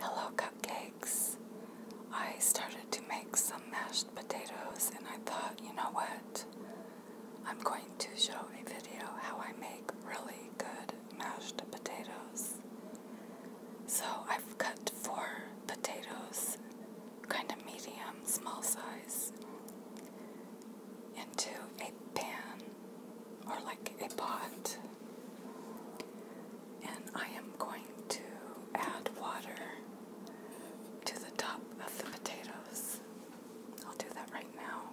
Hello, cupcakes. I started to make some mashed potatoes and I thought, you know what? I'm going to show a video how I make really good mashed potatoes. So I've cut four potatoes, kind of medium, small size, into a pan or like a pot. And I am going to add water to the top of the potatoes. I'll do that right now.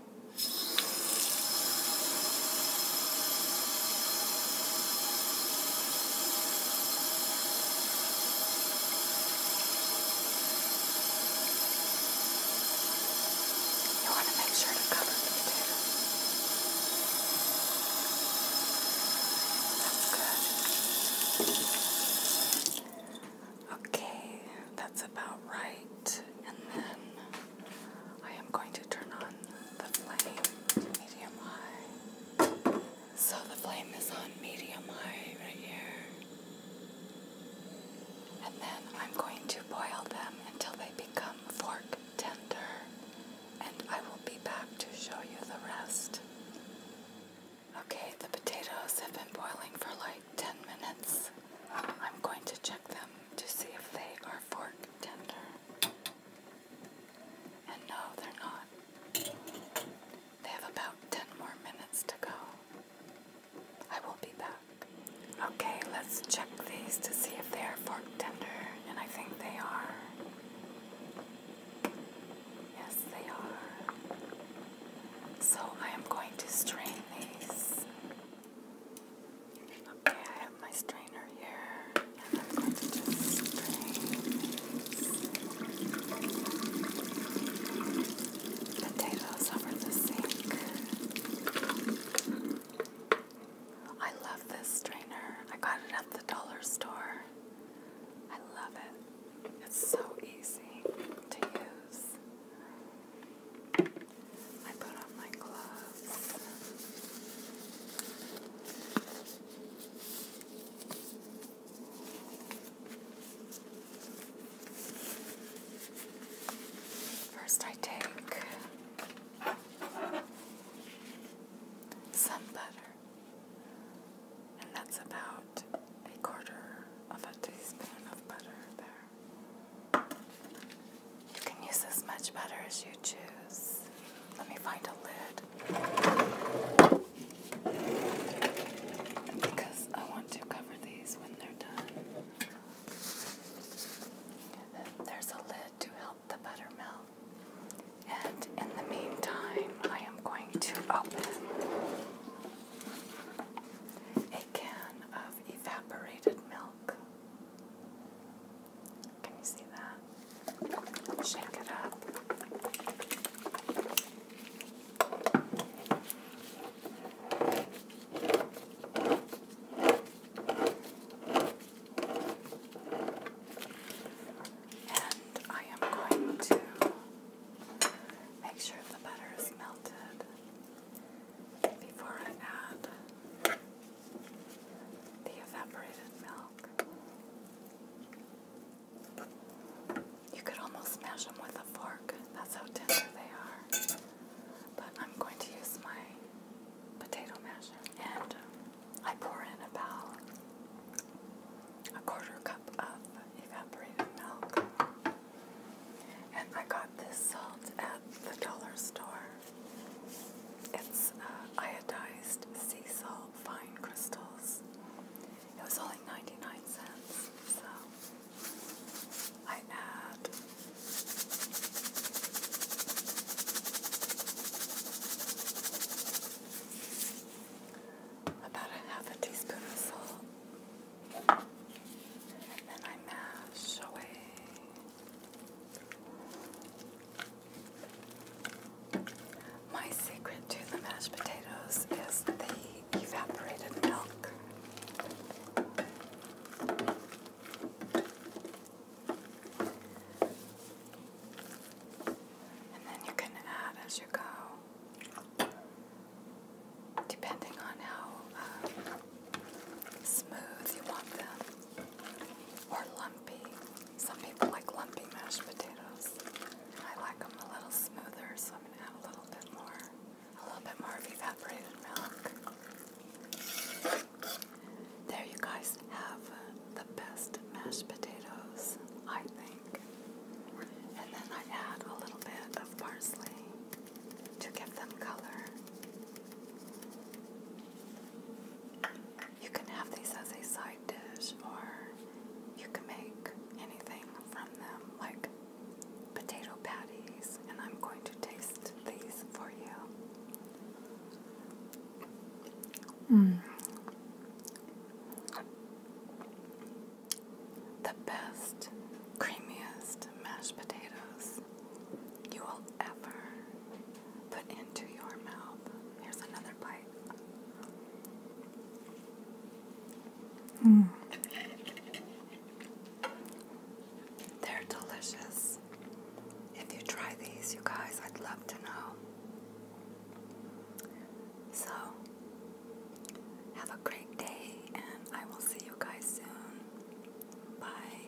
You want to make sure to cover the potato. That's good. Okay, that's about right. And then I am going to turn on the flame to medium high. So the flame is on medium high right here and then I'm going to boil them until they become fork tender, and I will be back to show you the rest. Okay, the potatoes have been boiling for like 10 minutes. I'm going to check them to see if they are fork tender. And no, they're not. They have about 10 more minutes to go. I will be back. Okay, let's check these to see if they are fork tender, and I think they are. Yes, they are. So I am going to strain these. Okay, I have my strainer here, and I'm going to strain these potatoes over the sink. I love this strainer. I got it at the dollar store. I love it. It's so easy to use. I put on my gloves. First, I take some butter, and that's about a quarter of a teaspoon of butter there. You can use as much butter as you choose. Let me find a lid because I want to cover these when they're done. There's a lid to help the butter And in the meantime, I am going to open a can of evaporated milk. Can you see that? Shake it up. And I am going to make sure the butter is melted before I add the evaporated milk. You could almost smash them with a fork. That's how tender they are. But I'm going to use my potato masher. And uh, I pour in about a quarter cup of evaporated milk. And I got this salt at the dollar store. It's uh, iodized sea salt, fine crystals. It was only 99 cents, so I add about a half a teaspoon of salt. And then I mash away. My secret to the mashed potatoes is the evaporated milk. And then you can add as you go, depending on how uh, smooth you want them or lumpy. Some people like lumpy mashed potatoes. I like them a little smoother, so I'm gonna add a little bit more, a little bit more evaporated milk. There you guys have the best mashed potatoes, I think. And then I add a little bit of parsley to give them color. You can have these as a side dish, or you can make anything from them, like potato patties, and I'm going to taste these for you. Mm. The best, creamiest mashed potatoes you will ever put into your mouth. Here's another bite. Mm. They're delicious. If you try these, you guys, I'd love to know. So, have a great day, and I will see you guys soon. Bye.